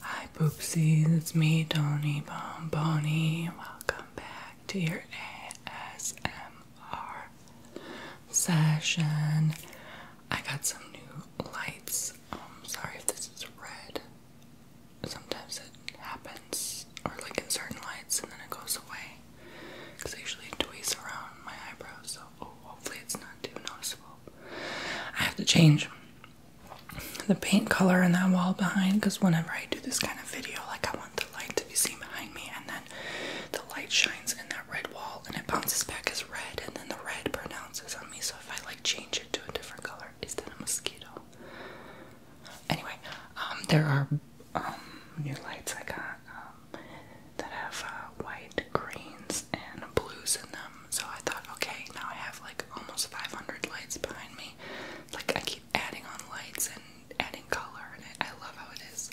Hi poopsies, it's me, Donnie Bonboni. Welcome back to your ASMR session. I got some new lights. I'm um, sorry if this is red. Sometimes it happens, or like in certain lights, and then it goes away. Because I usually tweeze around my eyebrows, so oh, hopefully it's not too noticeable. I have to change the paint color in that wall behind because whenever I do this kind of video, like I want the light to be seen behind me, and then the light shines in that red wall and it bounces back as red, and then the red pronounces on me. So if I like change it to a different color, it's that a mosquito? Anyway, um, there are um, new lights I got um, that have uh, white greens and blues in them. So I thought, okay, now I have like almost 500 lights behind me. Like I keep adding on lights and adding color, and I, love how it is.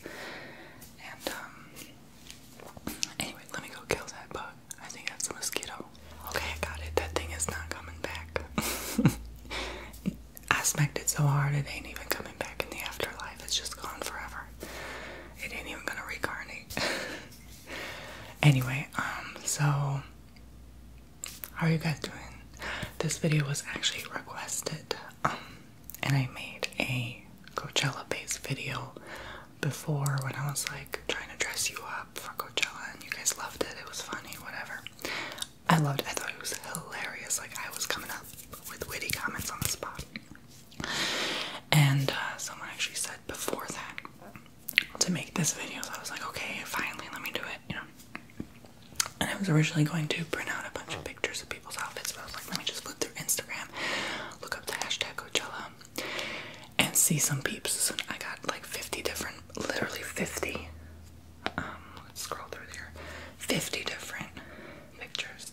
And um, anyway, let me go kill that bug. I think that's a mosquito. Okay, I got it. That thing is not coming back. I smacked it so hard it ain't even coming back in the afterlife. It's just gone forever. It ain't even gonna reincarnate. Anyway, um, so how are you guys doing? This video was actually requested, um, and I made a Coachella-based video before when I was like trying to dress you up for Coachella, and you guys loved it. It was funny, whatever. I loved I thought it was hilarious. Like I was coming up with witty comments on the spot, and uh, someone actually said before that to make this video, so I was like, okay, finally, let me do it, you know. And I was originally going to print out a bunch of pictures of people's outfits, but I was like, let me just flip through Instagram, look up the hashtag Coachella, and see some peeps. So I got like 50 different, literally 50. Um, let's scroll through there. 50 different pictures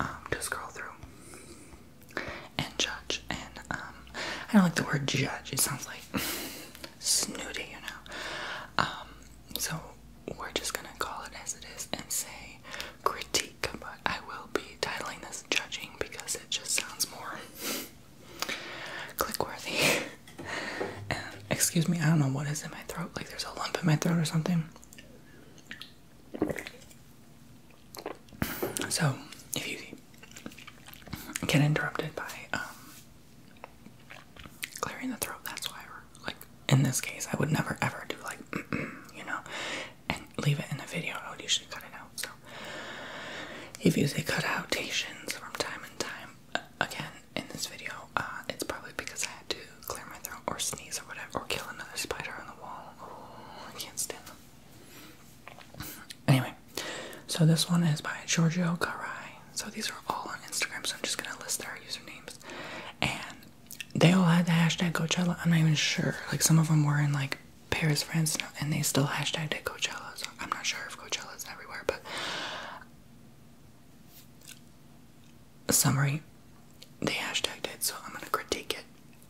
um, to scroll through and judge. And um, I don't like the word judge. It sounds like snooty, you know. Um, so we're just gonna call it as it is and say critique. But I will be titling this judging because it just sounds more clickworthy. and, excuse me, I don't know what is in my throat. Like there's a lump in my throat or something. So, if you get interrupted by um, clearing the throat, that's why like in this case, I would never ever do like you know, and leave it in a video. I would usually cut it out. So, if you say cutautations from time to time uh, again in this video, uh, it's probably because I had to clear my throat or sneeze or whatever, or kill another spider on the wall. I can't stand them. Anyway, so this one is by Giorgio Garai. So these are all on Instagram, so I'm just gonna list their usernames. And they all had the hashtag Coachella. I'm not even sure. Like some of them were in like Paris, France, and they still hashtagged it Coachella. So I'm not sure if Coachella is everywhere, but summary, they hashtagged it. So I'm gonna critique it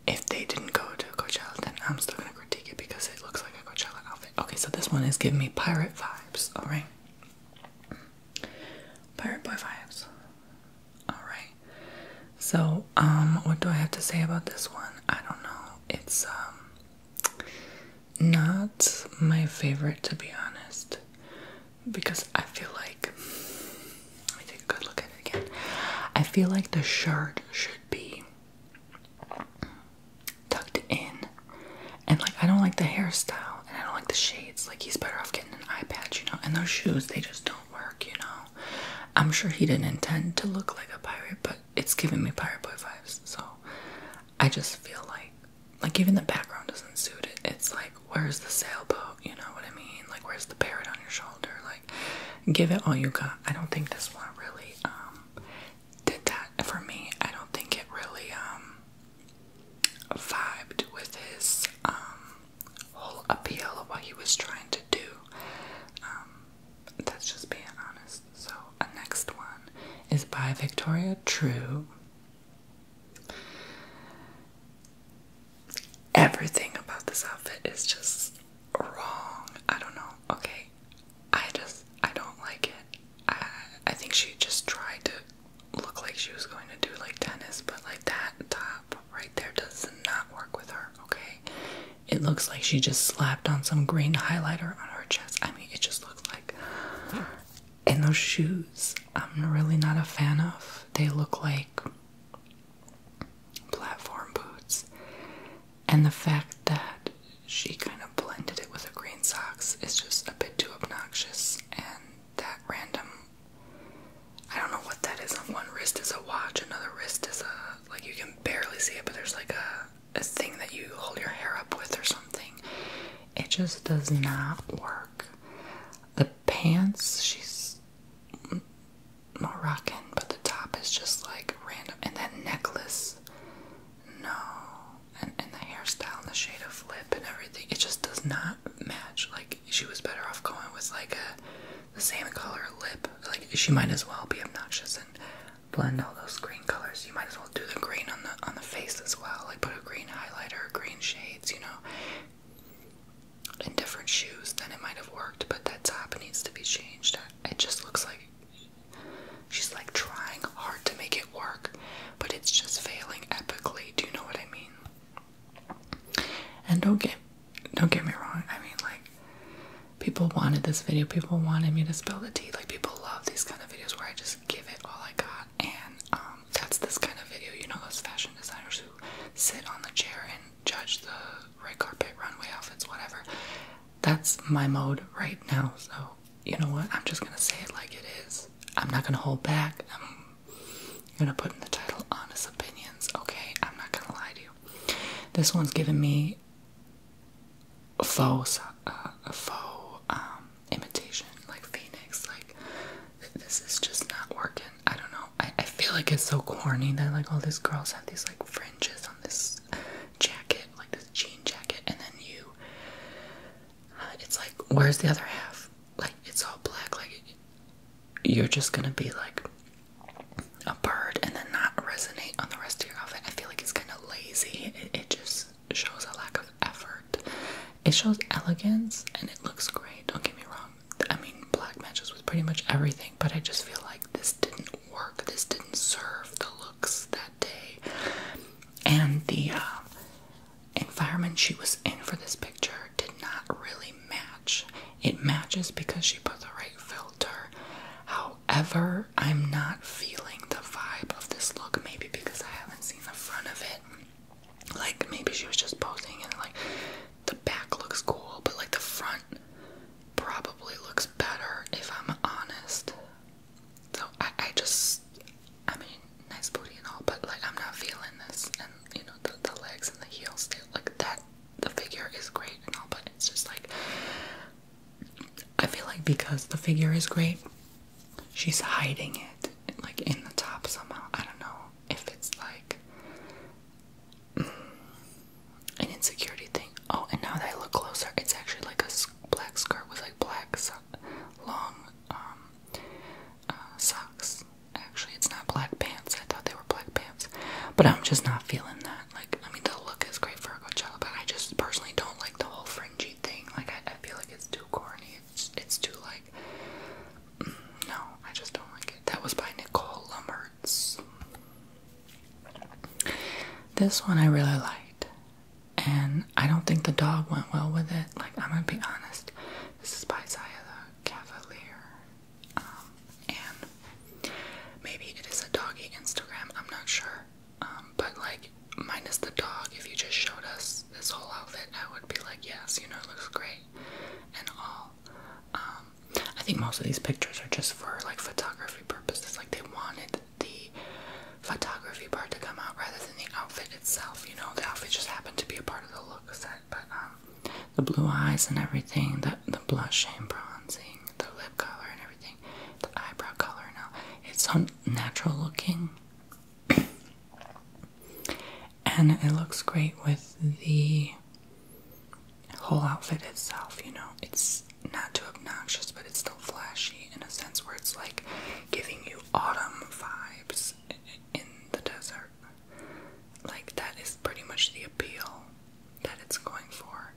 if they didn't go to Coachella, then I'm still gonna critique it because it looks like a Coachella outfit. Okay, so this one is giving me pirate vibes, alright? Pirate boy vibes. Alright. So, um, what do I have to say about this one? I don't know. It's, um, not my favorite to be honest. Because I feel like, let take a good look at it again. I feel like the shirt should be tucked in. And like I don't like the hairstyle and I don't like the shades. Like he's better off getting an eye patch, you know. And those shoes, they just don't work, you know. I'm sure he didn't intend to look like a pirate, but it's giving me pirate boy vibes. So I just feel like like even the background doesn't suit it. It's like where's the sailboat, you know what I mean? Like where's the parrot on your shoulder? Like give it all you got. I don't think this one really um did that for me. I don't think it really um, vibed with his um, whole appeal of what he was trying to do. Um, that's just being honest. So, a next one is by Victoria True. Everything about this outfit is just wrong. I don't know. Okay, I just I don't like it. I I think she just tried to look like she was going to do like tennis, but like that top right there does not work with her, okay? It looks like she just slapped on some green highlighter on her chest. I mean, it just looks like and those shoes I'm really not a fan of. They look like platform boots and the fact that she kind of blended it with her green socks is just a bit too obnoxious. And that random, I don't know what that is. On one wrist is a watch, another wrist is a like you can barely see it, but there's like a a thing that you hold your hair up with or something. It just does not work. The pants, she's Moroccan, but the top is just like random, and that necklace no. And, the hairstyle and the shade of lip and everything, it just does not match. Like, she was better off going with like the same color lip. Like, she might as well be obnoxious and blend all those green colors. You might as well do the green on the on the face as well. Like, put a green highlighter, green shades, you know. In different shoes, then it might have worked. But that top needs to be changed. It just looks like She's like trying hard to make it work, but it's just failing epically. Do you know what I mean? And don't get don't get me wrong. I mean, like people wanted this video. People wanted me to spill the tea. Like people love these kind of videos where I just give it all I got. And um, that's this kind of video. You know, those fashion designers who sit on the chair and judge the red carpet, runway outfits, whatever. That's my mode right now. So, you know what? I'm just gonna say it like it is. I'm not gonna hold back. I'm gonna put in the title Honest Opinions, okay? I'm not gonna lie to you. This one's giving me uh, a faux, a um, faux imitation, like Phoenix. Like, this is just not working. I don't know. I, I feel like it's so corny that, like, all these girls have these, like, fringes on this jacket, like this jean jacket, and then you, uh, it's like, where's the other half? Like, it's all black. Like, you're just gonna be like a bird and then not resonate on the rest of your outfit. I feel like it's kind of lazy. It, just shows a lack of effort. It shows elegance and it looks great. Don't get me wrong. I mean, black matches with pretty much everything, but I just feel like this didn't work. This didn't serve the look that day and the uh, environment she was in for this picture did not really match. It matches because she put the right filter. However, I'm not feeling the vibe of this look, maybe because I haven't seen the front of it. Like, maybe she was just posing and, like, the back looks cool, but, like, the front probably looks better if I'm honest. So I, I just, I mean, nice booty and all, but like I'm not feeling this. And you know, the, legs and the heels, they, like that, the figure is great and all, but it's just like, I feel like because the figure is great, she's hiding it like in the top somehow. I don't know if it's like an insecurity thing. Oh, and now that I look closer, it's actually like a black skirt with like black long um, uh, socks. Actually, it's not black pants. I thought they were black pants, but I'm just not feeling that. Like, I mean, the look is great for a good job, but I just personally don't like the whole fringy thing. Like, I, feel like it's too corny. It's it's too like. Mm, no, I just don't like it. That was by Nicole Lumberts. This one I really liked, and I don't think the dog went well with it. Like, I'm gonna be honest. This is by Zaya the Cavalier, um, and maybe it is a doggy Instagram, I'm not sure. Um, but, like, minus the dog, if you just showed us this whole outfit, I would be like, yes, you know, it looks great and all. Um, I think most of these pictures are just for like photography purposes, like they wanted the photography part to come out rather than the outfit itself. You know, the outfit just happened to be a part of the look set, but um, the blue eyes and everything, the the blush and bronzing, the lip color and everything, the eyebrow color. Now it's unnatural looking, and it looks great with the whole outfit itself. You know, it's not too obnoxious, but it's still flashy in a sense where it's like giving you autumn vibes in the desert. Like, that is pretty much the appeal that it's going for.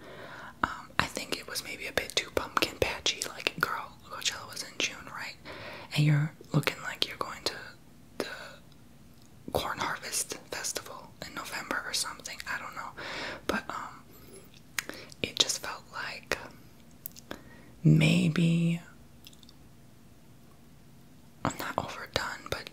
Um, I think it was maybe a bit too pumpkin patchy. Like, girl, Coachella was in June, right? And you're looking like you're going to the corn harvest festival in November or something. I don't know. But, um, it just felt like maybe I'm not overdone, but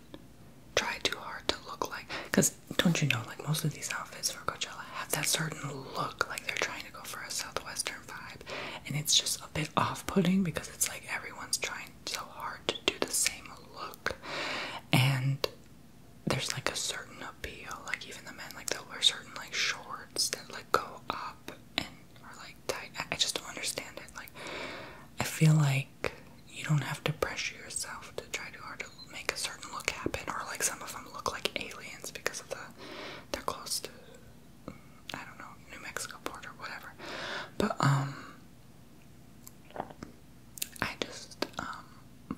try too hard to look like. Because don't you know, like most of these outfits for Coachella have that certain look, like they're trying to go for a southwestern vibe, and it's just a bit off-putting because it's like everyone's trying so hard to do the same look, and there's like a certain appeal. Like even the men, like they'll wear certain like shorts that like go up and are like tight. I, I just don't understand it. Like I feel like you don't have to pressure yourself to try too hard to make a certain look happen. Or like some of them look like aliens because of the they're close to I don't know New Mexico border, whatever. But um. I just um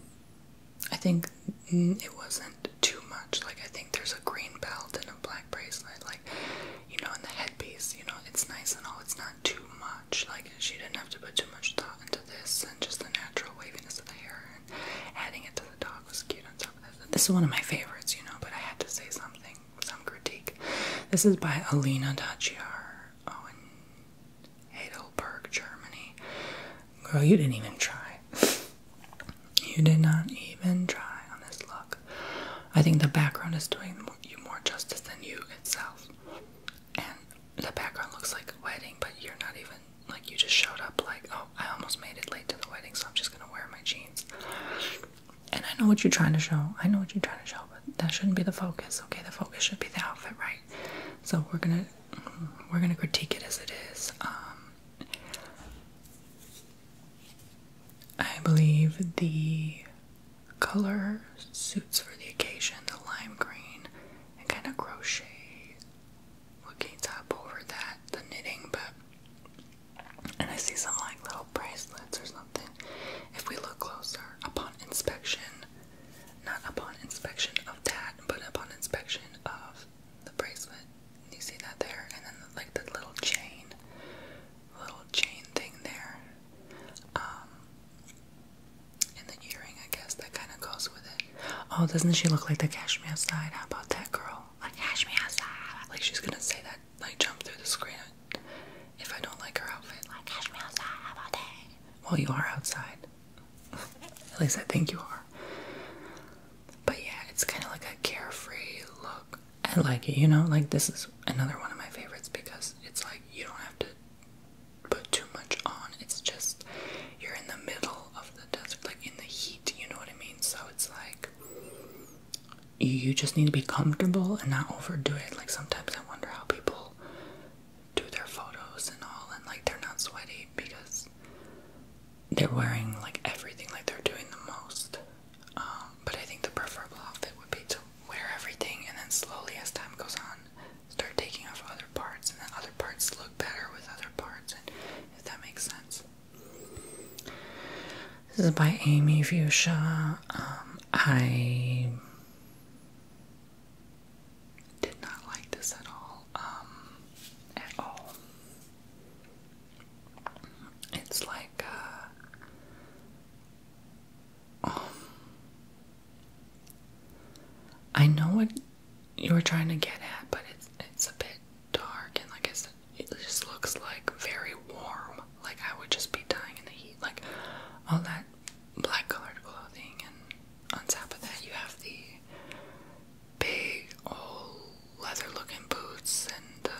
I think it wasn't too much. Like, I think there's a green belt and a black bracelet, like, you know, and the headpiece, you know, it's nice and all. It's not too much. Like, she didn't have to put too much thought into this, and just the natural waviness of the hair and adding it to the dog was cute on top of this, This is one of my favorites, you know, but I had to say something, some critique. This is by Alina Daciar Owen. Oh, Heidelberg, Germany. Girl, you didn't even try. You did not even try on this look. I think the background is doing you more justice than you itself. And the background looks like a wedding, but you're not even like you just showed up like, oh, I almost made it late to the wedding, so I'm just gonna wear my jeans. And I know what you're trying to show. I know what you're trying to show, but that shouldn't be the focus. Okay, the focus should be the outfit, right? So we're gonna we're gonna critique it as it is. Um, I believe the color suits for the occasion, the lime green and kind of crochet looking top over that, the knitting, but and I see some like little bracelets or something. If we look closer upon inspection, not upon inspection of that, but upon inspection of the bracelet. You see that there, and then like the little chain, little chain thing there, um, and the earring. I guess that kind of goes with it. Oh, doesn't she look like the Cashmere side? How about that girl? Like Cashmere Me Outside. Like she's gonna say that, like jump through the screen if I don't like her outfit. Like Cashmere Me Outside. How about that? Well, you are outside. At least I think you are. But yeah, it's kind of like a carefree look. I like it, you know? Like, this is another one of my favorites because it's like you don't have to put too much on. It's just you're in the middle of the desert, like in the heat, you know what I mean? So it's like you just need to be comfortable and not overdo it. Like, sometimes I wonder how people do their photos and all, and like they're not sweaty because they're wearing like everything, like they're doing the most. Um, but I think the preferable outfit would be to wear everything and then slowly, as time goes on, start taking off other parts, and then other parts look better with other parts, and if that makes sense. This is by Amy Fuchsia. Um, I did not like this at all um, at all. It's like uh, um, I know what you are trying to get at, but it's it's a bit dark and like I said, it just looks like very warm. Like I would just be dying in the heat. Like all that black colored clothing and on top of that you have the big old leather looking boots and the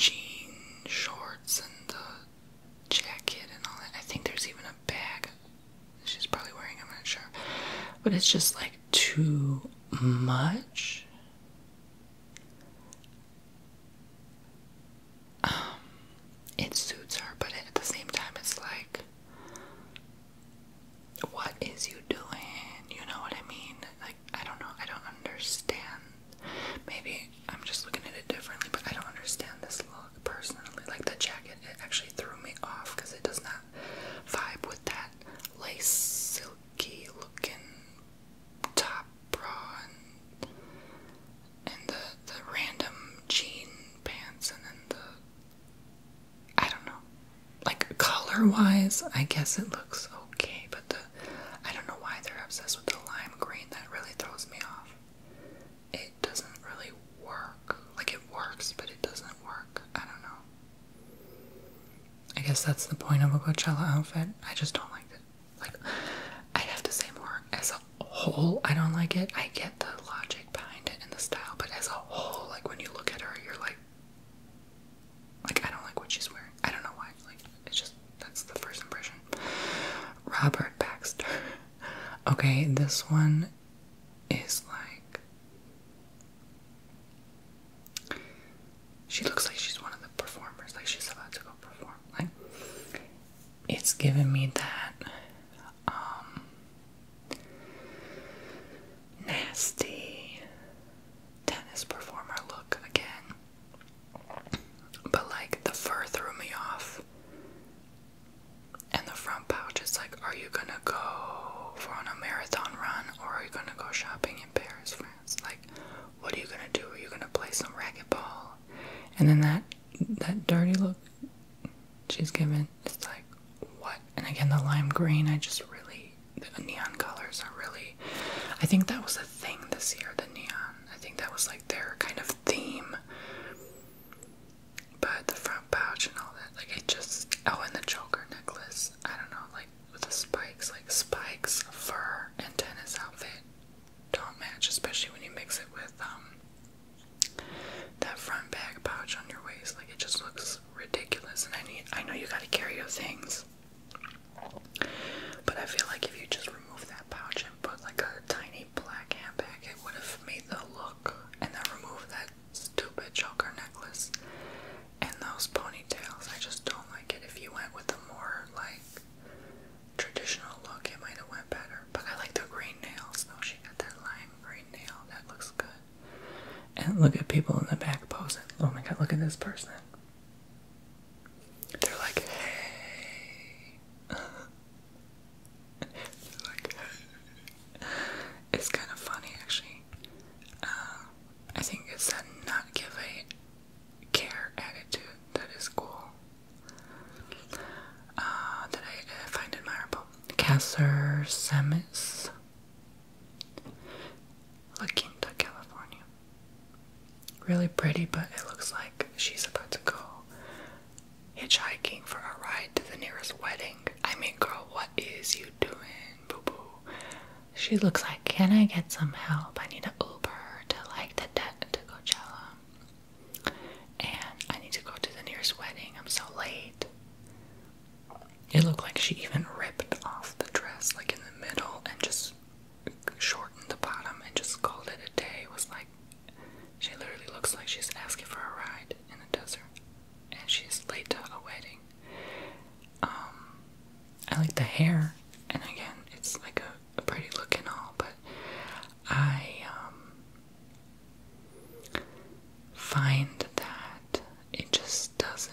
jean shorts and the jacket and all that. I think there's even a bag she's probably wearing, I'm not sure. But it's just like too much. Um, it suits her, but at the same time, it's like what is you doing? You know what I mean? Like, I don't know, I don't understand. Maybe I'm just looking at it differently, but I don't understand this look personally. Like, the jacket, it actually threw me off because it does not vibe with that lace, silky looking top bra and, the, the random jean pants and then the I don't know. Like color wise, I guess it looks okay, but the I don't know why they're obsessed with the lime green. That really throws me off. It doesn't really work. Like it works, but it doesn't work. I don't know. I guess that's the point of a Coachella outfit. I just don't like it. Like, I have to say more as a whole, I don't like it. I get the logic behind it and the style, but as a whole, like when you look at her, you're like, like, I don't like what she's wearing. I don't know why. Like, it's just that's the first impression. Robert Baxter. okay, this one is like. She looks like she's one of the performers. Like, she's about to go perform. Like, it's giving me that. Um, nasty tennis performer look again. But like the fur threw me off. And the front pouch is like, are you gonna go for a marathon run or are you gonna go shopping in Paris, France? Like, what are you gonna do? Are you gonna play some racquetball? And then that that dirty look she's giving and it's like what and again the lime green i just really the neon colors are really i think that was a thing this year the neon i think that was like their kind of theme but the front pouch and all that like it just oh and the choker necklace i don't know like with the spikes like spikes fur and tennis outfit don't match especially when you mix it with um that front bag pouch on your waist like it just looks ridiculous, and I need I know you gotta carry your things. But I feel like if you just remove that pouch and put like a tiny black handbag, it would have made the look and then remove that stupid choker necklace and those ponytails. I just don't like it. If you went with a more like traditional look, it might have went better. But I like the green nails though. She got that lime green nail. That looks good. And look at people in the back posing. Oh my god, look at this person. They're like, hey. It's kind of funny actually. Uh, I think it's that not give a care attitude that is cool. Uh, that I find admirable. Casser Semis. La Quinta, California. Really pretty, but it looks like she's about to go hitchhiking for a ride to the nearest wedding. I mean, girl, what is you doing, boo boo? She looks like, can I get some help? I need an Uber to like the debt to Coachella. And I need to go to the nearest wedding. I'm so late. It looked like she even ripped off the dress, like in the middle, and just shortened the bottom and just called it a day. It was like she literally looks like she's asking for a ride in the desert, and she's late to a wedding. Um, I like the hair, and again, it's like a, a pretty look and all, but I um, find that it just doesn't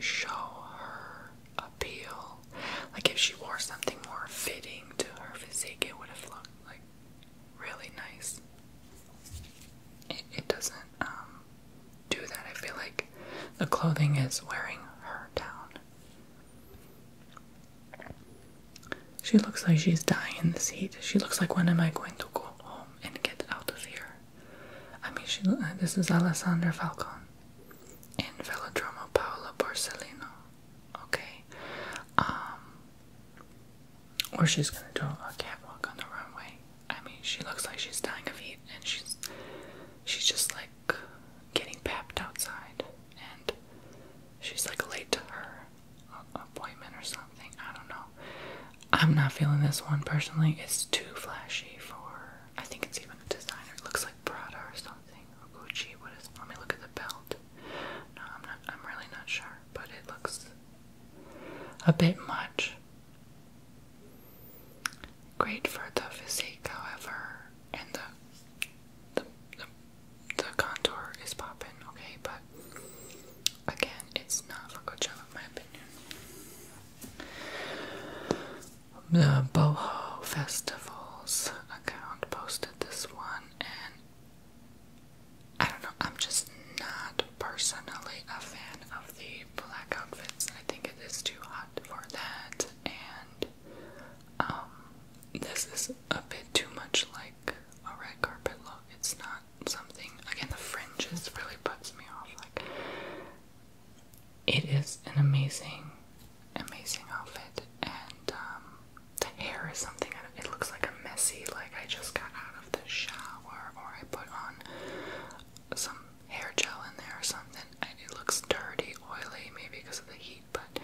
show her appeal. Like if she wore something more fitting to her physique, it would have looked like really nice. It, doesn't um, do that. I feel like the clothing is wearing her down. She looks like she's dying in the seat. She looks like when am I going to go home and get out of here? I mean, she, uh, this is Alessandra Falcon in Velodromo Paolo Borsellino. Okay, um, or she's gonna do a catwalk on the runway. I mean, she looks like she's dying of heat, and she's she's just like getting papped outside, and she's like late to her appointment or something. I don't know. I'm not feeling this one personally. It's too flashy for. I think it's even a designer. It looks like Prada or something or Gucci. What is? Let me look at the belt. No, I'm not. I'm really not sure, but it looks a bit much. Great for the physique, however, and the the the, contour is popping. Okay, but again, it's not for Coachella, in my opinion. The Boho Festival's account posted this one, and I don't know, I'm just not personally a fan of the black outfits. I think it is too hot for that, and um, this is a bit too much like a red carpet look. It's not something, again, the fringes really puts me off. Like, it is an amazing, amazing outfit, and um, the hair is something. It looks like a messy, like I just got out of the shower, or I put on some hair gel in there or something, and it looks dirty, oily, maybe because of the heat. But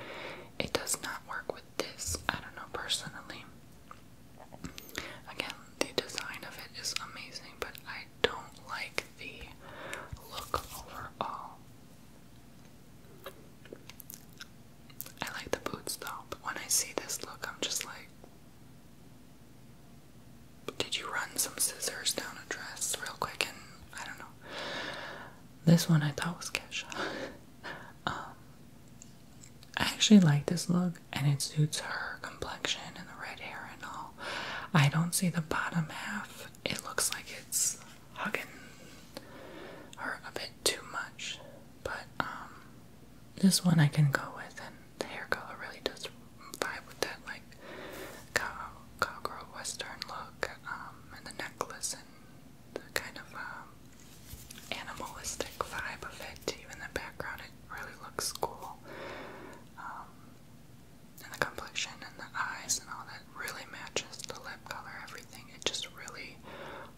it does not work with this. I don't know personally. Again, the design of it is amazing, but I don't like the look overall. I like the boots though, but when I see this look, I'm just like, did you run some scissors down a dress real quick? And I don't know. This one I thought was Kesha. Um, I actually like this look, and it suits her complexion and the red hair and all. I don't see the bottom half. It looks like it's hugging her a bit too much, but um, this one I can go with, and the hair color really does vibe with that like cowgirl western look, um, and the necklace and the kind of um, animalistic vibe of it. Even the background, it really looks cool. Um, and the complexion and the eyes and all that really matches the lip color, everything. It just really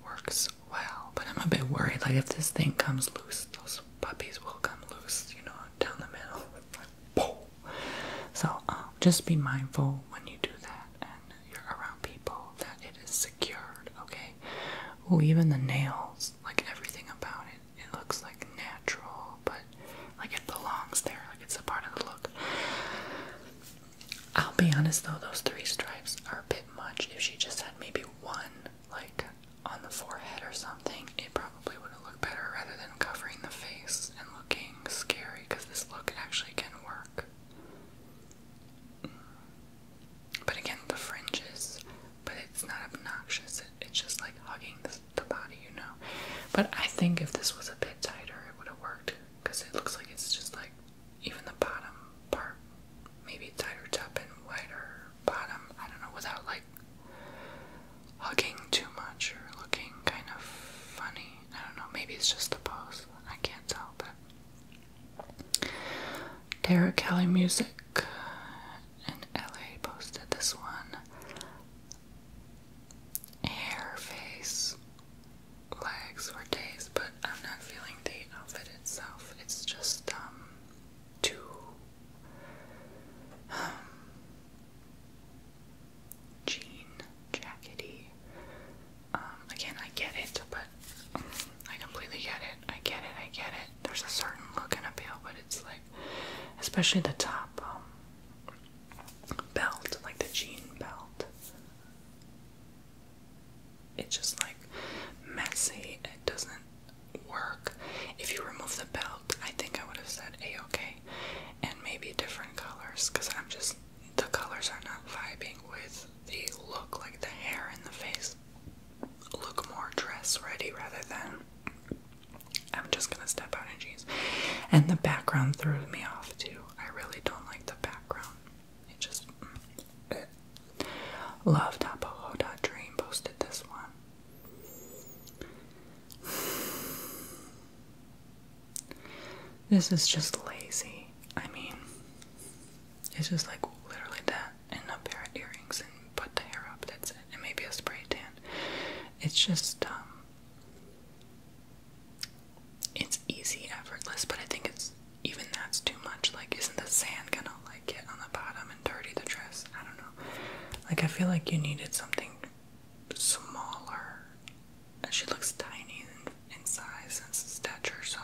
works well. But I'm a bit worried, like if this thing comes loose, those puppies will come loose, you know, down the middle. Like, so um, just be mindful when you do that and you're around people that it is secured, okay? Oh, even the nails, like everything about it it looks like natural, but like it belongs there, like it's a part of the look. I'll be honest though, those three stripes are a bit much. If she just had maybe one, like on the forehead or something, it probably would have looked better rather than covering the face and looking scary because this look actually can work. But again, the fringes, but it's not obnoxious, it's just like hugging the the body, you know. But I think if this was a bit tighter, it would have worked because it looks like it's just like even the bottom part, maybe tighter top and wider bottom. I don't know, without like hugging too much or looking kind of funny. I don't know, maybe it's just the pose. I can't tell, but Derek Kelly Music and LA posted this one hair, face, legs, or days, but I'm not feeling the outfit itself. It's just um too um jean jackety. Um, again, I get it, but I completely get it. I get it. I get it. There's a certain look and appeal, but it's like, especially the top. Um, belt, like the jean belt. It's just like messy. It doesn't work. If you remove the belt, I think I would have said a okay, and maybe different colors, because I'm just the colors are not vibing with the look, like the hair and the face. Look more dress ready rather than I'm just gonna step out in jeans. And the background threw me off too. I really don't like the background. It just. Mm, eh. Love Dot Dream posted this one. This is just lazy. I mean, it's just like literally that and a pair of earrings and put the hair up, that's it. And maybe a spray tan. It's just, um, it's easy, effortless, but I think it's, even that's too much. Like, isn't the sand gonna, like, get on the bottom and dirty the dress? I don't know. Like, I feel like you needed something smaller. And She looks tiny in size and stature, so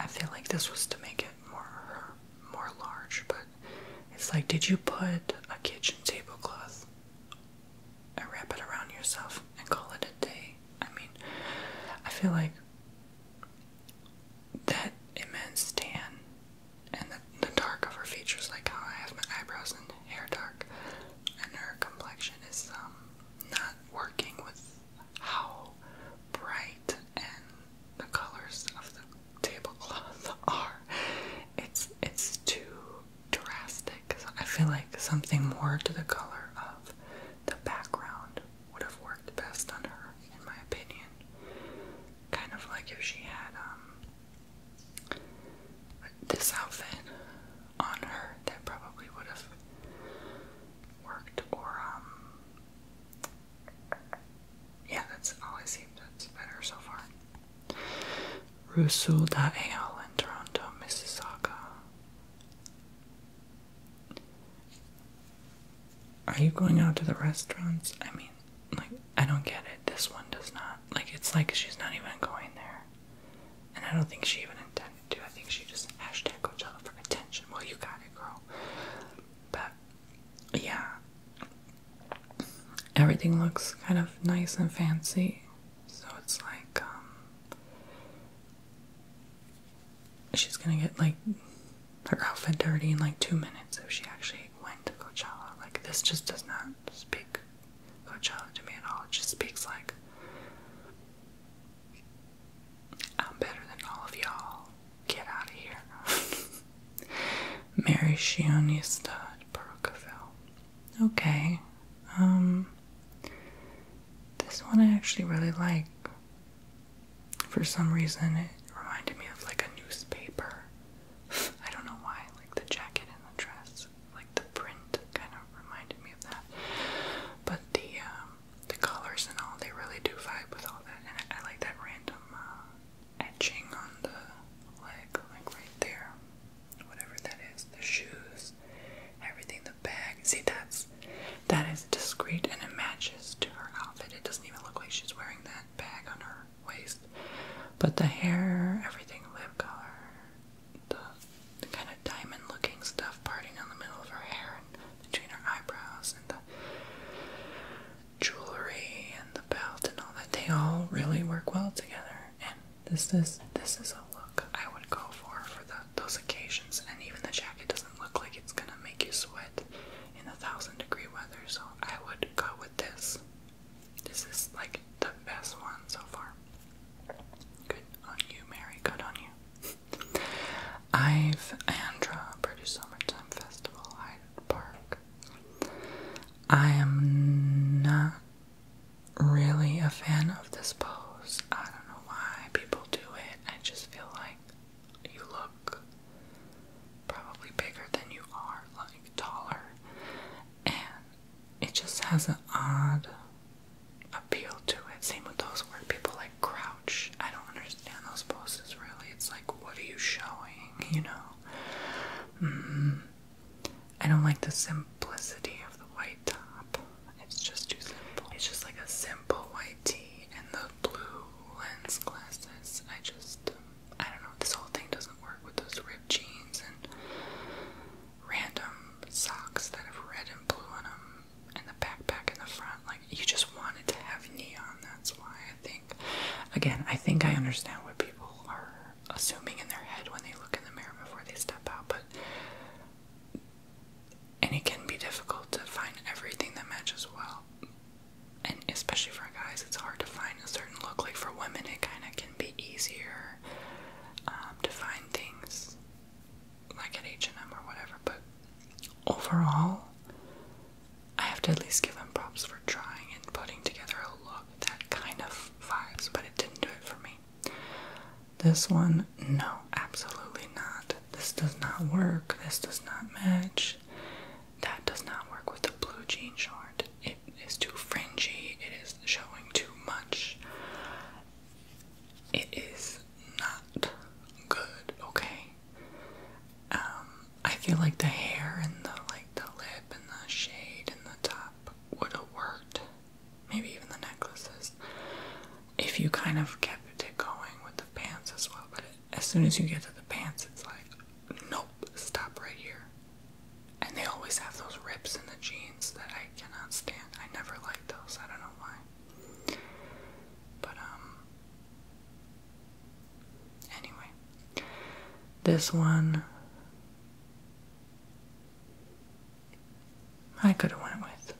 I feel like this was to make it more, more large, but it's like, did you put a kitchen tablecloth and wrap it around yourself and call it a day? I mean, I feel like that immense tan and the, the dark of her features, like how I have my eyebrows and hair dark, and her complexion is um, not working with how bright and the colors of the tablecloth are. It's it's too drastic. So I feel like something more to the color of the background would have worked best on her, in my opinion. Kind of like if she had um this outfit on her, that probably would have worked. Or um, yeah, that's all I see. That's better so far. Rusul.al in Toronto, Mississauga. Are you going out to the restaurants? I mean, like, I don't get it. This one does not. Like, it's like she's not even going there. And I don't think she even intended to. I think she just hashtag Coachella for attention. Well, you got it, girl. But, yeah everything looks kind of nice and fancy. So it's like, um, she's gonna get like her outfit dirty in like two minutes if she actually went to Coachella. Like, this just does not speak Coachella to me at all. It just speaks like, I'm better than all of y'all. Get out of here. Mary Shionista Perukaville. Okay. Um this one I actually really like. For some reason it reminded me of like a newspaper. I don't know why, like the jacket and the dress, like the print kind of reminded me of that. But the um, the colors and all they really do vibe with all that and I, like that random uh, etching on the leg like right there whatever that is, the shoes, everything, the bag. See, that's that is discreet and it matches to her outfit. It doesn't even look like she's wearing that bag on her waist. But the hair, everything, lip color, the, kind of diamond looking stuff parting down the middle of her hair and between her eyebrows and the jewelry and the belt and all that, they all really work well together and this is this is a look I would go for for those occasions. And even the jacket doesn't look like it's gonna make you sweat in a thousand degree weather. So I would go with this. This is like the best one so far. Good on you, Mary. Good on you. I've Andra British Summertime Festival Hyde Park. I am not really a fan of this pose. I don't know why people do it. I just feel like you look probably bigger than you are, like taller. And it just has an odd appeal to it. Same with those where people like crouch. I don't understand those poses really. It's like, what are you showing? You know? Mm-hmm. I don't like the simplicity of the white top. It's just too simple. It's just like a simple white tee and the blue lens glasses. I just, I don't know. This whole thing doesn't work with those ripped jeans and random socks that have red and blue on them, and the backpack in the front. Like you just wanted to have neon. That's why I think. Again, I think I understand what people are assuming in their head when they look in the mirror before they step out, but and it can be difficult to find everything that matches well. And especially for guys, it's hard to find a certain look. Like for women, it kind of can be easier um, to find things like at H and M or whatever. But overall, I have to at least give them props for trying and putting together a look that kind of fives, but it didn't do it for me. This one, no, absolutely not. This does not work. This does not match. That does not work with the blue jean short. It is too fringy. It is showing too much. It is not good, okay? Um, I feel like the hair and the like the lip and the shade and the top would have worked, maybe even the necklaces, if you kind of kept it going with the pants as well. But as soon as you get to the pants, it's like, nope, stop right here. And they always have those rips in the jeans that I cannot stand. I never like those. I don't know why. But, um, anyway, this one I could have went with.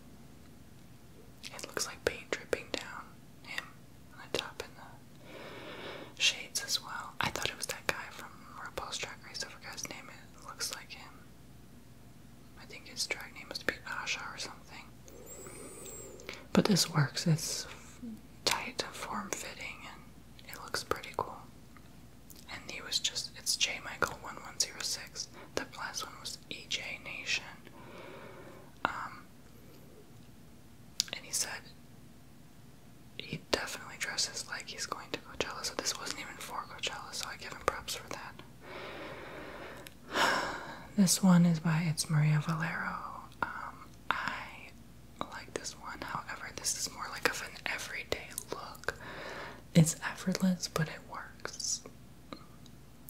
It looks like paint dripping down him on the top and the shades as well. I thought it was that guy from RuPaul's Drag Race. I guy's name. It looks like him. I think his drag name must be Asha or something. But this works. It's tight, form fitting, and it looks pretty cool. And he was just, it's J. Michael 1106. The last one was EJ Nation. Um, and he said he definitely dresses like he's going to Coachella. So this wasn't even for Coachella, so I give him props for that. this one is by It's Maria Valero. Um, I like this one. However, this is more like of an everyday look. It's effortless, but it works.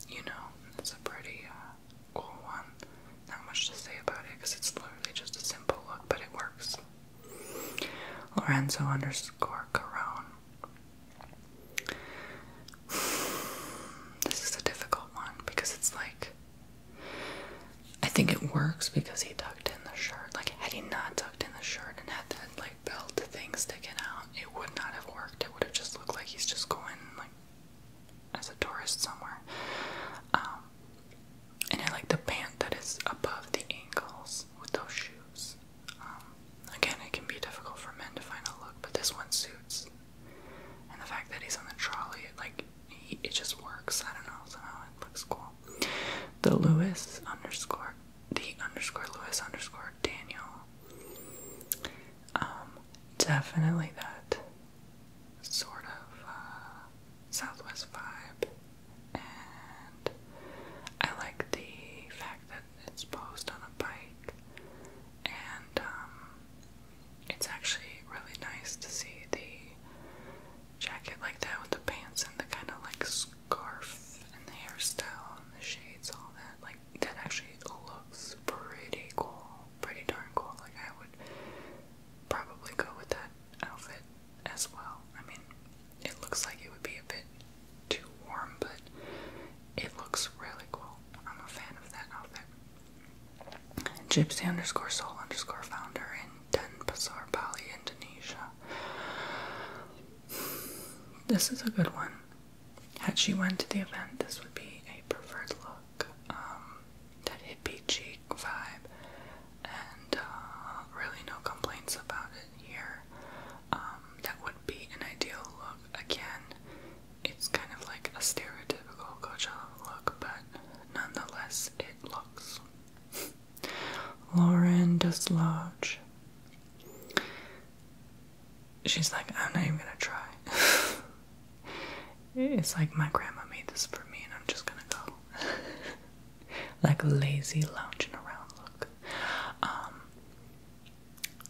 You know, it's a pretty uh, cool one. Not much to say about it because it's literally just a simple look, but it works. Lorenzo underscore Carone. This is a difficult one because it's like I think it works because he tucked in the shirt. Like, had he not tucked in the shirt and had that like belt thing sticking out, it would not have worked. It would have just looked like he's just going like as a tourist somewhere. Um, and I like the pant that is above the ankles with those shoes. Um, again, it can be difficult for men to find a look, but this one suits. And the fact that he's on the trolley, it, like it just works. I don't know, somehow it looks cool. The Lewis underscore the underscore Lewis underscore Daniel. Um, definitely that sort of uh, Southwest vibe, and I like the fact that it's posed on a bike, and um, it's actually really nice to see the jacket like that with the pants and the kind of like scarf and the hairstyle and the shades, all that, like that actually looks pretty cool, pretty darn cool. Like I would probably go with that outfit as well. I mean, it looks like it would be a bit too warm, but it looks really cool. I'm a fan of that outfit. Gypsy underscore soul underscore founder in Denpasar, Bali, Indonesia. This is a good one. Had she went to the event, this would be a preferred look. Um, that hippie chic vibe, and uh, really no complaints about it here. Um, that would be an ideal look. Again, it's kind of like a stereotypical Coachella look, but nonetheless, it looks. Lauren does lounge. She's like, I'm not even gonna try. it's like my grandma made this for me, and I'm just gonna go. like lazy lounging around look. Um,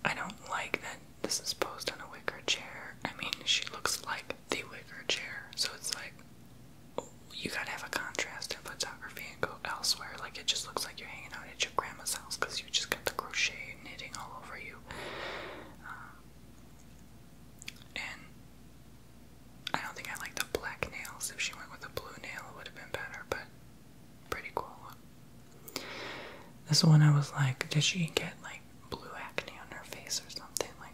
I don't like that this is posed on a wicker chair. I mean, she looks like the wicker chair, so it's like, you gotta have a contrast in photography and go elsewhere. Like it just looks like you're hanging out at your grandma's house because you just got the crochet knitting all over you. Um, and I don't think I like the black nails. If she went with a blue nail, it would have been better, but pretty cool. This one I was like, did she get like blue acne on her face or something? Like,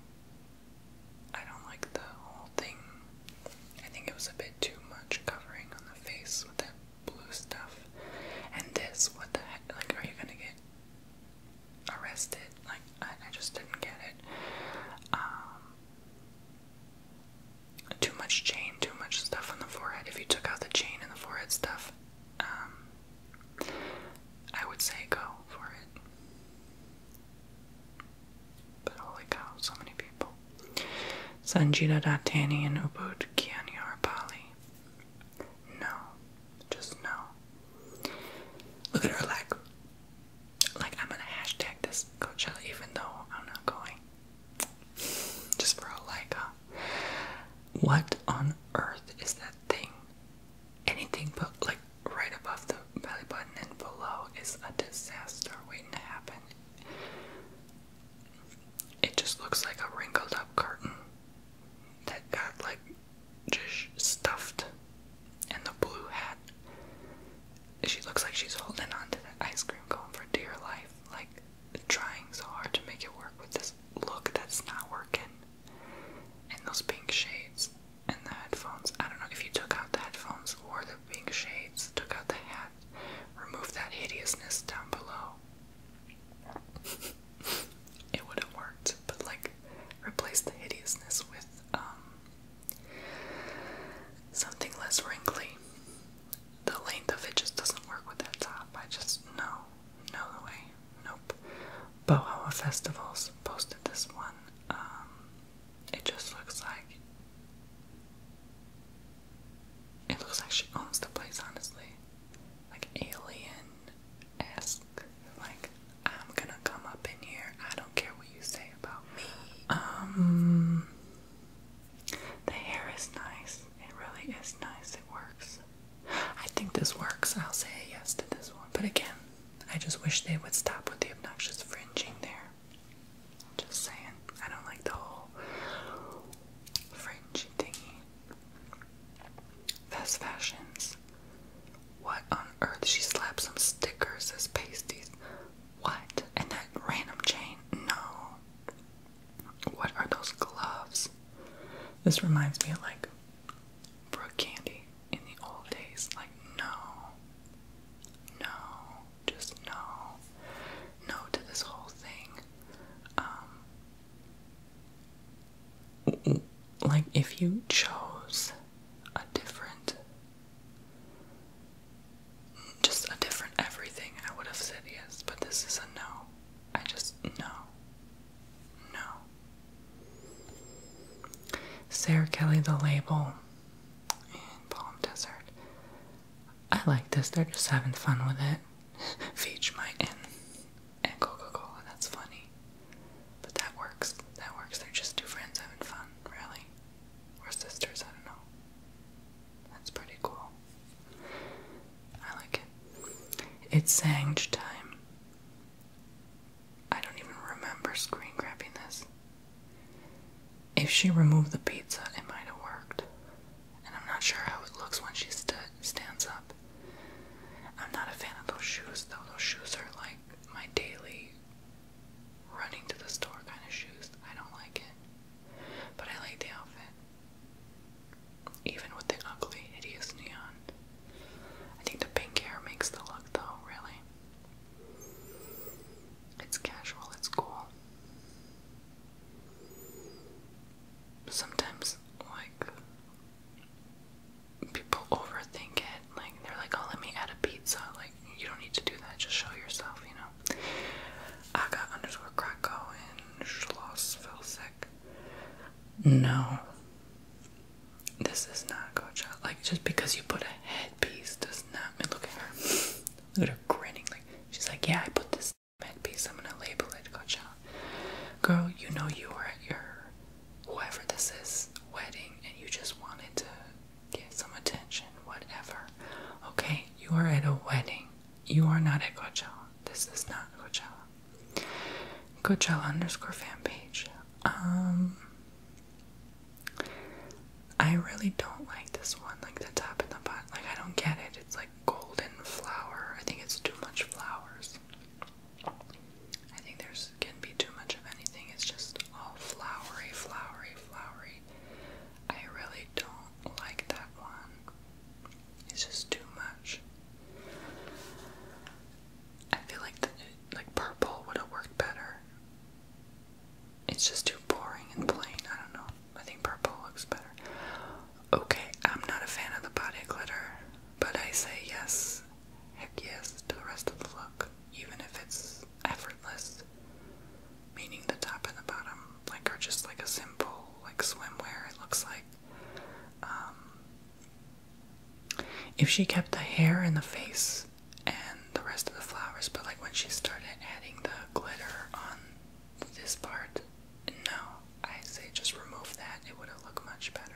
I don't like the whole thing. I think it was a bit too much covering on the face with that blue stuff. And this, what the heck? Like, are you gonna get arrested? Like, I, just didn't get it. Um, too much chain, too much stuff on the forehead. If you took out the chain and the forehead stuff, um, I would say go for it. But holy cow, so many people. Sanjita Dattani and Ubud Kianyarapali. No. Just no. Look at her leg. Like, I'm gonna hashtag this Coachella even though I'm not going. Just for a like, uh, What on earth is that thing? Anything but like right above the belly button and below is a disaster waiting to happen it just looks like a wrinkled up curtain that got like just stuffed. And the blue hat. She looks like she's holding on to the ice cream cone for dear life, like trying so hard to make it work with this look that's not working. And those pink shades and the headphones. I don't know if you took out the headphones or the dark pink shades, took out the hat, removed that hideousness down below. it would have worked, but like, replace the hideousness with um, something less wrinkly. The length of it just doesn't work with that top. I just, no, no way, nope. Bohoa Festivals posted this one. Um, it just looks like it looks like she owns the place, honestly. Like alien-esque. Like, I'm gonna come up in here. I don't care what you say about me. Um, the hair is nice. It really is nice. It works. I think this works. I'll say yes to this one. But again, I just wish they would stop with the obnoxious fringing there. Just saying. I don't like the whole fringe thingy. Fast fashions. What on earth? She slapped some stickers as pasties. What? And that random chain? No. What are those gloves? This reminds me of like Brooke Candy in the old days. Like, no. No just no, no to this whole thing. Um, like, if you chose a different, just a different everything, I would have said yes, but this is a no. I just, no. No. Sarah Kelly, the label in Palm Desert. I like this. They're just having fun with it. Feach my in and Coca-Cola. That's funny. But that works. That works. They're just two friends having fun, really. Or sisters, I don't know. That's pretty cool. I like it. It's Sange time. I don't even remember screen grabbing this. If she removed the pizza, it might have worked. And I'm not sure how it looks when she stands up. I'm not a fan of those shoes, though. Those shoes are like my daily running to the store kind of shoes. I don't like it. But I like the outfit. Even with the ugly, hideous neon. I think the pink hair makes the look, though, really. It's casual, it's cool sometimes like people overthink it like they're like oh let me add a pizza like you don't need to do that just show yourself you know I got underscore Krakow and Schloss fell sick no this is not Coachella like just because you put a headpiece does not mean, look at her Look at her grinning. Like she's like, yeah, I put this piece. I'm gonna label it. Gotcha. Girl, you know you were at your whoever this is wedding, and you just wanted to get some attention. Whatever. Okay, you are at a wedding. You are not at Coachella. This is not Coachella. Coachella underscore fan page. Um, I really don't like this one, like the top and the bottom. Like, I don't get it. It's like golden flower. I think it's too much flowers. I think there's can be too much of anything. It's just all flowery, flowery, flowery. I really don't like that one. It's just too much. I feel like like purple would have worked better. It's just too boring and plain. I don't know. I think purple looks better. Okay, I'm not a fan of the body glitter, but I say yes, heck yes, to the rest of the look, even if it's effortless. Meaning the top and the bottom, like, are just like a simple, like, swimwear, it looks like. Um, if she kept the hair and the face and the rest of the flowers, but like when she started adding the glitter on this part, no, I say just remove that, it would have looked much better.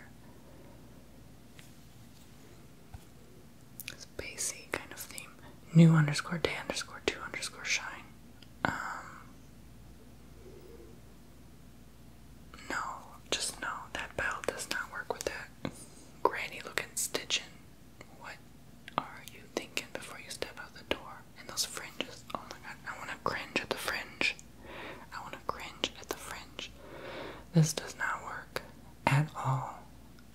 Spacey kind of theme. New underscore day underscore two underscore shine. Um, no, just no, that bell does not work with that granny looking stitching. What are you thinking before you step out the door? And those fringes. Oh my god, I want to cringe at the fringe. I want to cringe at the fringe. This does not work at all.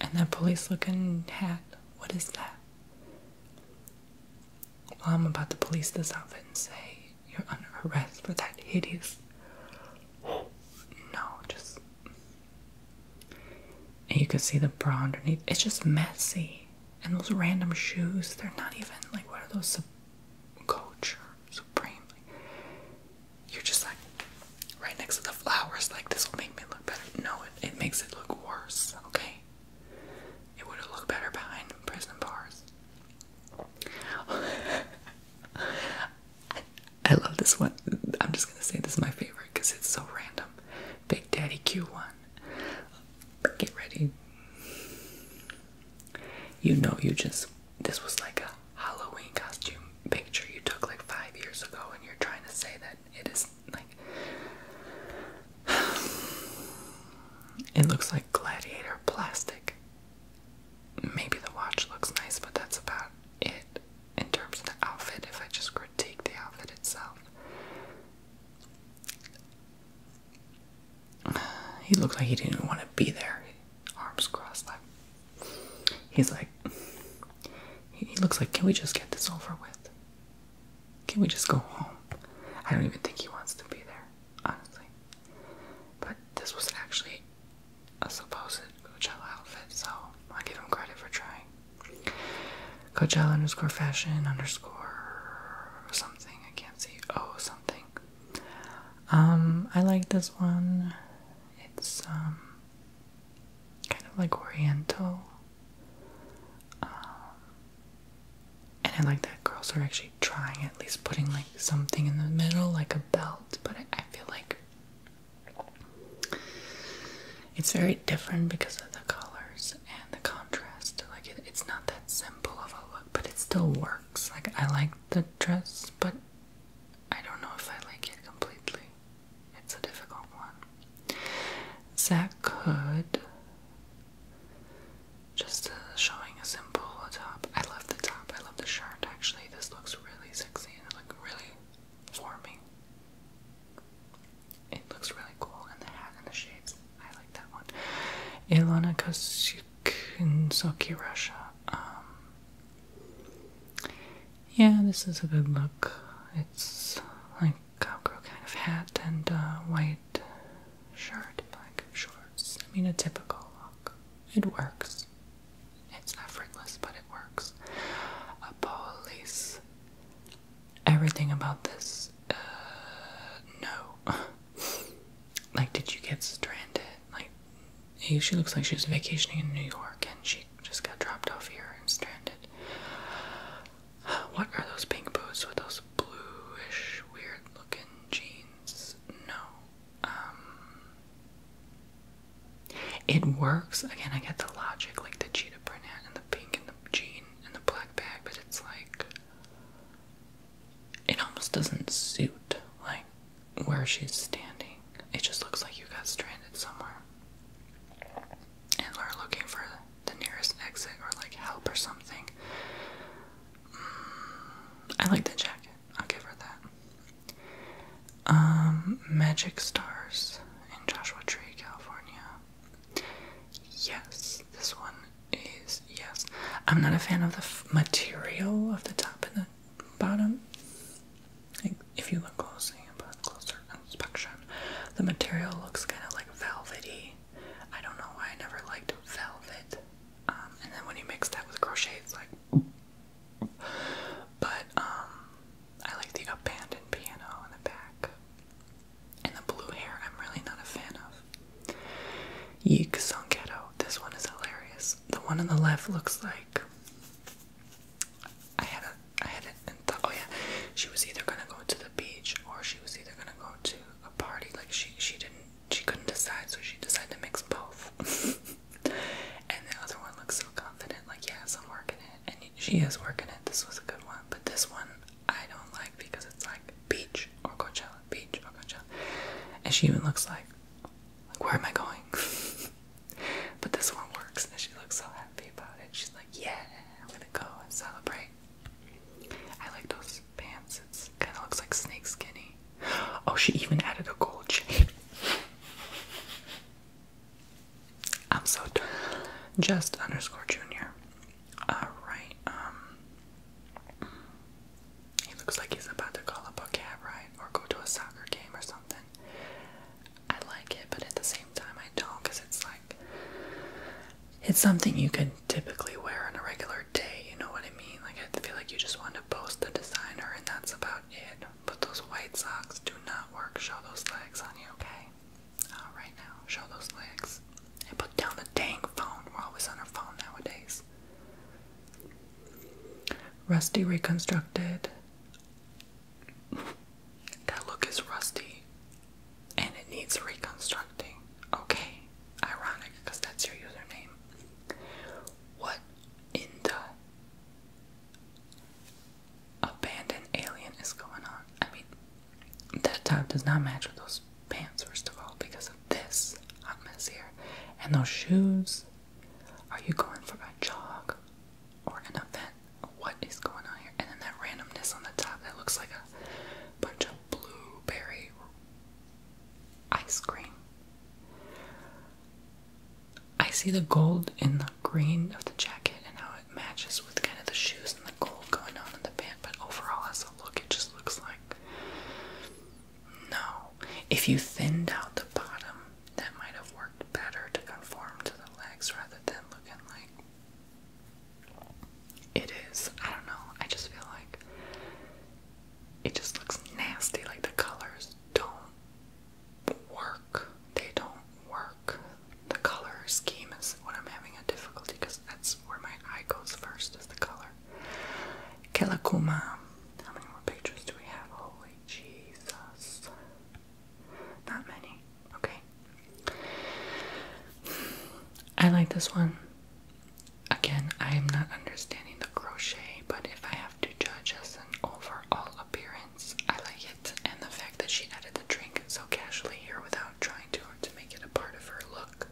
And that police looking hat, what is that? Well, I'm about to police this outfit and say you're under arrest for that hideous. No, just and you can see the bra underneath. It's just messy. And those random shoes, they're not even like what are those coach or supreme? you're just like right next to the flowers, like this will make me look better. No, it, it makes it look worse, okay? It would have looked better behind prison bars. I love this one. I'm just gonna say this is my favorite because it's so random. Big Daddy Q1. Get ready. You know, you just. This was like a Halloween costume picture you took like five years ago, and you're trying to say that it is like. it looks like gladiator plastic. Maybe the watch looks nice, but that's about it in terms of the outfit. If I just critique the outfit itself, He looked like he didn't want to be there, arms crossed. Like he's like, he looks like, can we just get this over with? Can we just go home? I don't even think he wants to be there, honestly. But this was actually a supposed Gucci outfit, so I give him credit for trying. Coachella underscore fashion underscore something. I can't see. Oh, something. Um, I like this one. It's um kind of like oriental. Um, and I like that girls are actually trying at least putting like something in the middle, like a belt. But I feel like it's very different because of the colors and the contrast. Like it's not that simple of a look, but it still works. Like I like the dress, but I don't know if I like it completely. It's a difficult one. Zach could just uh, showing a simple top. I love the top. I love the shirt. Actually, this looks really sexy and like really for it looks really cool, and the hat and the shades. I like that one. Ilona Kosukinsoki, Russia. Um, yeah, this is a good look. It's like cowgirl kind of hat and white shirt, black shorts. I mean, a typical look. It works. It's not effortless, but it works. A police everything about this. Uh, no. like, did you get stranded? Like, she looks like she was vacationing in New York and she just got dropped off here and stranded. What are those pink boots with those bluish, weird looking jeans? No. Um. It works. Again, I get the logic, like the cheetah print and the pink and the jean and the black bag, but it's like it almost doesn't suit like where she's standing. It just looks like you got stranded somewhere. And we're looking for the nearest exit or like help or something. Mm, I like the jacket. I'll give her that. Um, Magic Stars in Joshua Tree, California. Yes, this one is yes. I'm not a fan of the material of the top and the bottom. Like, if you look closely closer inspection, the material looks kind of like velvety. I don't know why I never liked velvet. Um, and then when you mix that with crochet, it's like. But um, I like the abandoned piano in the back. And the blue hair, I'm really not a fan of. Yeek Songketo. This one is hilarious. The one on the left looks like I had a I had an oh yeah, she was either gonna go to the beach or she was either gonna go to a party. Like she she didn't she couldn't decide, so she decided to mix both. and the other one looks so confident, like yes, I'm working it, and she is working it. This was a good one, but this one I don't like because it's like beach or Coachella, beach or Coachella. And she even looks like, like where am I going? but this one works and she looks so happy about it. She's like, yeah, I'm gonna go and celebrate. I like those pants. It's kind of looks like snake skinny. Oh, she even added a gold chain. I'm so done. Just underscore junior. Alright, um, He looks like he's about to call up a cab ride or go to a soccer game or something. I like it, but at the same time, I don't because it's like. It's something you can typically wear on a regular day, you know what I mean? Like, I feel like you just want to post the designer and that's about it. But those white socks do not work. Show those legs on you, okay? All right now, show those legs. And put down the dang phone. We're always on our phone nowadays. Rusty reconstructed. that look is rusty. And it needs reconstructing. Okay. Ironic, because that's your username. What in the abandoned alien is going on? I mean, that top does not match with those pants, first of all, because of this hot mess here. And those shoes. Are you going for a jog or an event? What is going on here? And then that randomness on the top that looks like a bunch of blueberry ice cream. I see the gold in the green of the jacket and how it matches with kind of the shoes and the gold going on in the band, but overall, as a look, it just looks like no. If you thinned out the bottom, that might have worked better to conform to the legs rather than looking like it is. I don't know. I just feel like it just looks nasty. Like the colors don't work. They don't work the color scheme is what I'm having a difficulty because that's where my eye goes first is the color. Kelakuma. How many more pictures do we have? Holy Jesus. Not many. Okay. I like this one. Again, I am not understanding the crochet, but if I have to judge as an overall appearance, I like it. And the fact that she added the drink so casually here without trying to to make it a part of her look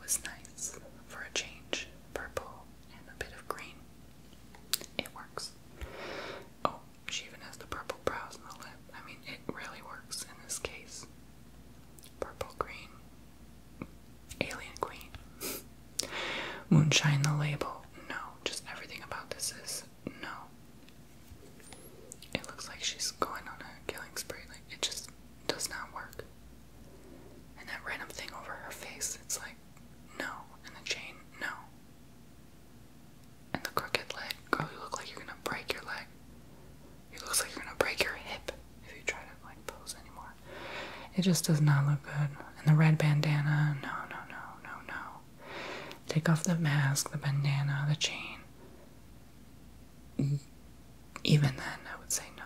was nice for a change. Purple and a bit of green. It works. Oh, she even has the purple brows and the lip. I mean, it really works in this case. Purple green. Alien Queen. Moonshine the label. No, just everything about this is no. It looks like she's going on a killing spree. Like, it just does not work. And that random thing over her face, it's like, no. And the chain, no. And the crooked leg, girl, you look like you're gonna break your leg. It looks like you're gonna break your hip if you try to like pose anymore. It just does not look good. And the red bandana, no, no, no, no, no. Take off the mask, the bandana, the chain even then, I would say no.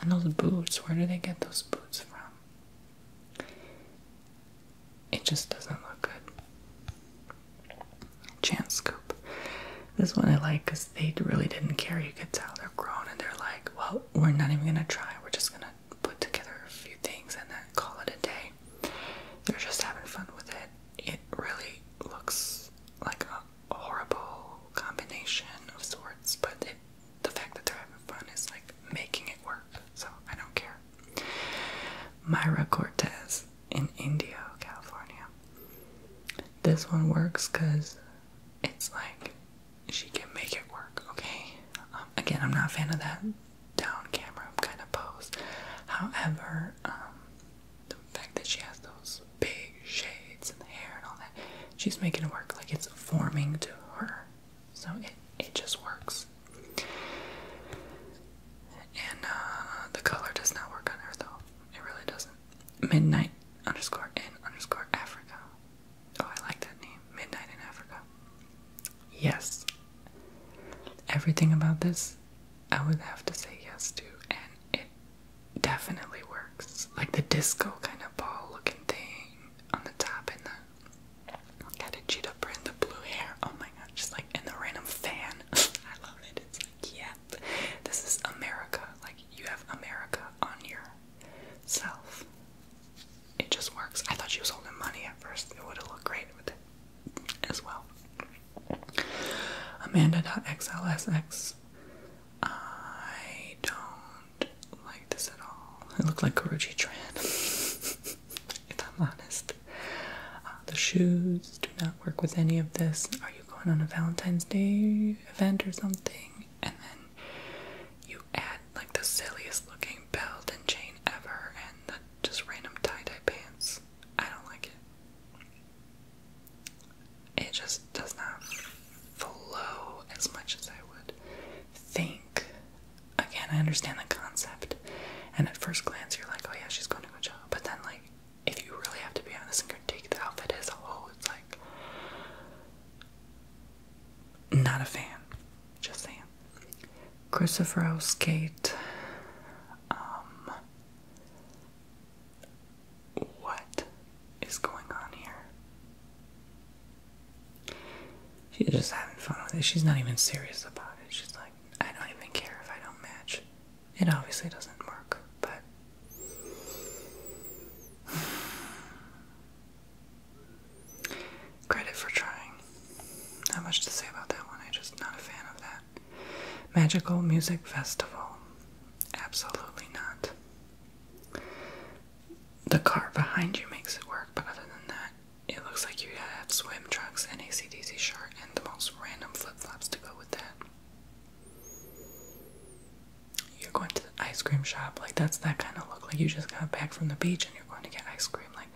And those boots, where do they get those boots from? It just doesn't look good. Chance scoop. This one I like because they really didn't care. You could tell they're grown and they're like, well, we're not even gonna try. We're just gonna put together a few things and then call it a day. They're just having fun with it. It really looks like a horrible combination of sorts, but the fact that they're having fun is like making it work, so I don't care. Myra Cortez in Indio, California. This one works because it's like she can make it work, okay? Um, again, I'm not a fan of that down camera kind of pose. However, um, the fact that she has those big shades and the hair and all that, she's making it work like it's forming to her. So it it just works. And uh, the color does not work on her though. It really doesn't. Midnight underscore in underscore Africa. Oh, I like that name. Midnight in Africa. Yes. Everything about this I would have to say yes to, and it definitely works. Like the disco kind of ball looking thing on the top, and the got a cheetah print, the blue hair. Oh my god, just like and the random fan. I love it. It's like, yeah, this is America. Like you have America on your self. It just works. I thought she was holding money at first. It would have looked great with it as well. Amanda.xlsx. I don't like this at all. It looked like Guruji Tran, if I'm honest. Uh, the shoes do not work with any of this. Are you going on a Valentine's Day event or something? And then you add like the silliest looking belt and chain ever and just random tie dye pants. I don't like it it just does not flow as much as I would think. Again, I understand the concept, and at first glance, you're like, oh yeah, she's going to a job. But then, like, if you really have to be honest and critique the outfit as a whole, it's like, not a fan. Just saying. Christopher Skate. Um, what is going on here? She's just having fun with it. She's not even serious about it. She's like, I don't even care if I don't match. It obviously doesn't work, but. Credit for trying. Not much to say about that one. I'm just not a fan of that. Magical Music Festival. Absolutely not. The car behind you makes it work, but other than that, it looks like you have swim trunks and a CDC shirt and the most random flip flops to go with that. You're going to the ice cream shop, like that's that kind of look. Like you just got back from the beach and you're going to get ice cream, like,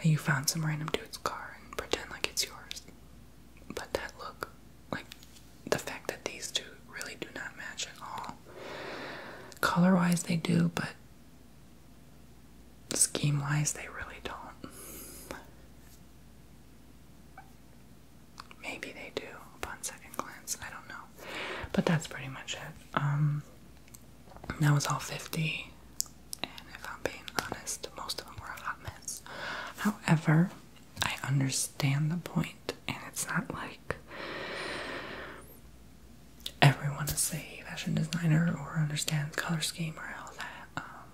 and you found some random dude's car and pretend like it's yours. But that look, like the fact that these two really do not match at all. Color wise, they do, but scheme wise, they really don't. Maybe they do upon second glance, I don't know. But that's pretty much it. Um, that was all 50 and if I'm being honest, most of them were a hot mess. However, I understand the point, and it's not like everyone is a fashion designer or understands color scheme or all that. Um,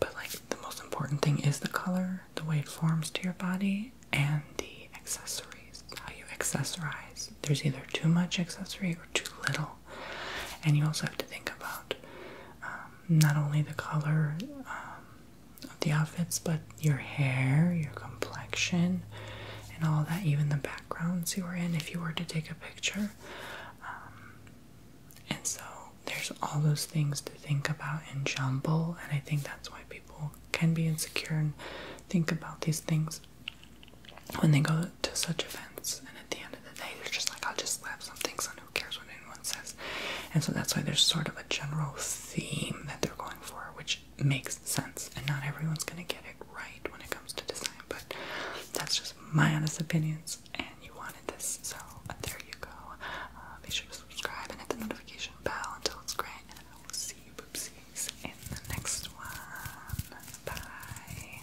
but like the most important thing is the color, the way it forms to your body, and the accessories. How you accessorize. There's either too much accessory or too little, and you also have to think about um, not only the color um, of the outfits, but your hair, your complexion, and all that, even the backgrounds you were in if you were to take a picture. Um, and so there's all those things to think about and jumble, and I think that's why people can be insecure and think about these things when they go to such events. And at the end of the day, they're just like, I'll just slap some things on who cares what anyone says? And so that's why there's sort of a general theme that they're going for, which makes sense. And not everyone's going to get it right when it comes to design, but that's just my honest opinions. And you wanted this, so there you go. Uh, be sure to subscribe and hit the notification bell until it's gray. And I will see you, boopsies, in the next one. Bye.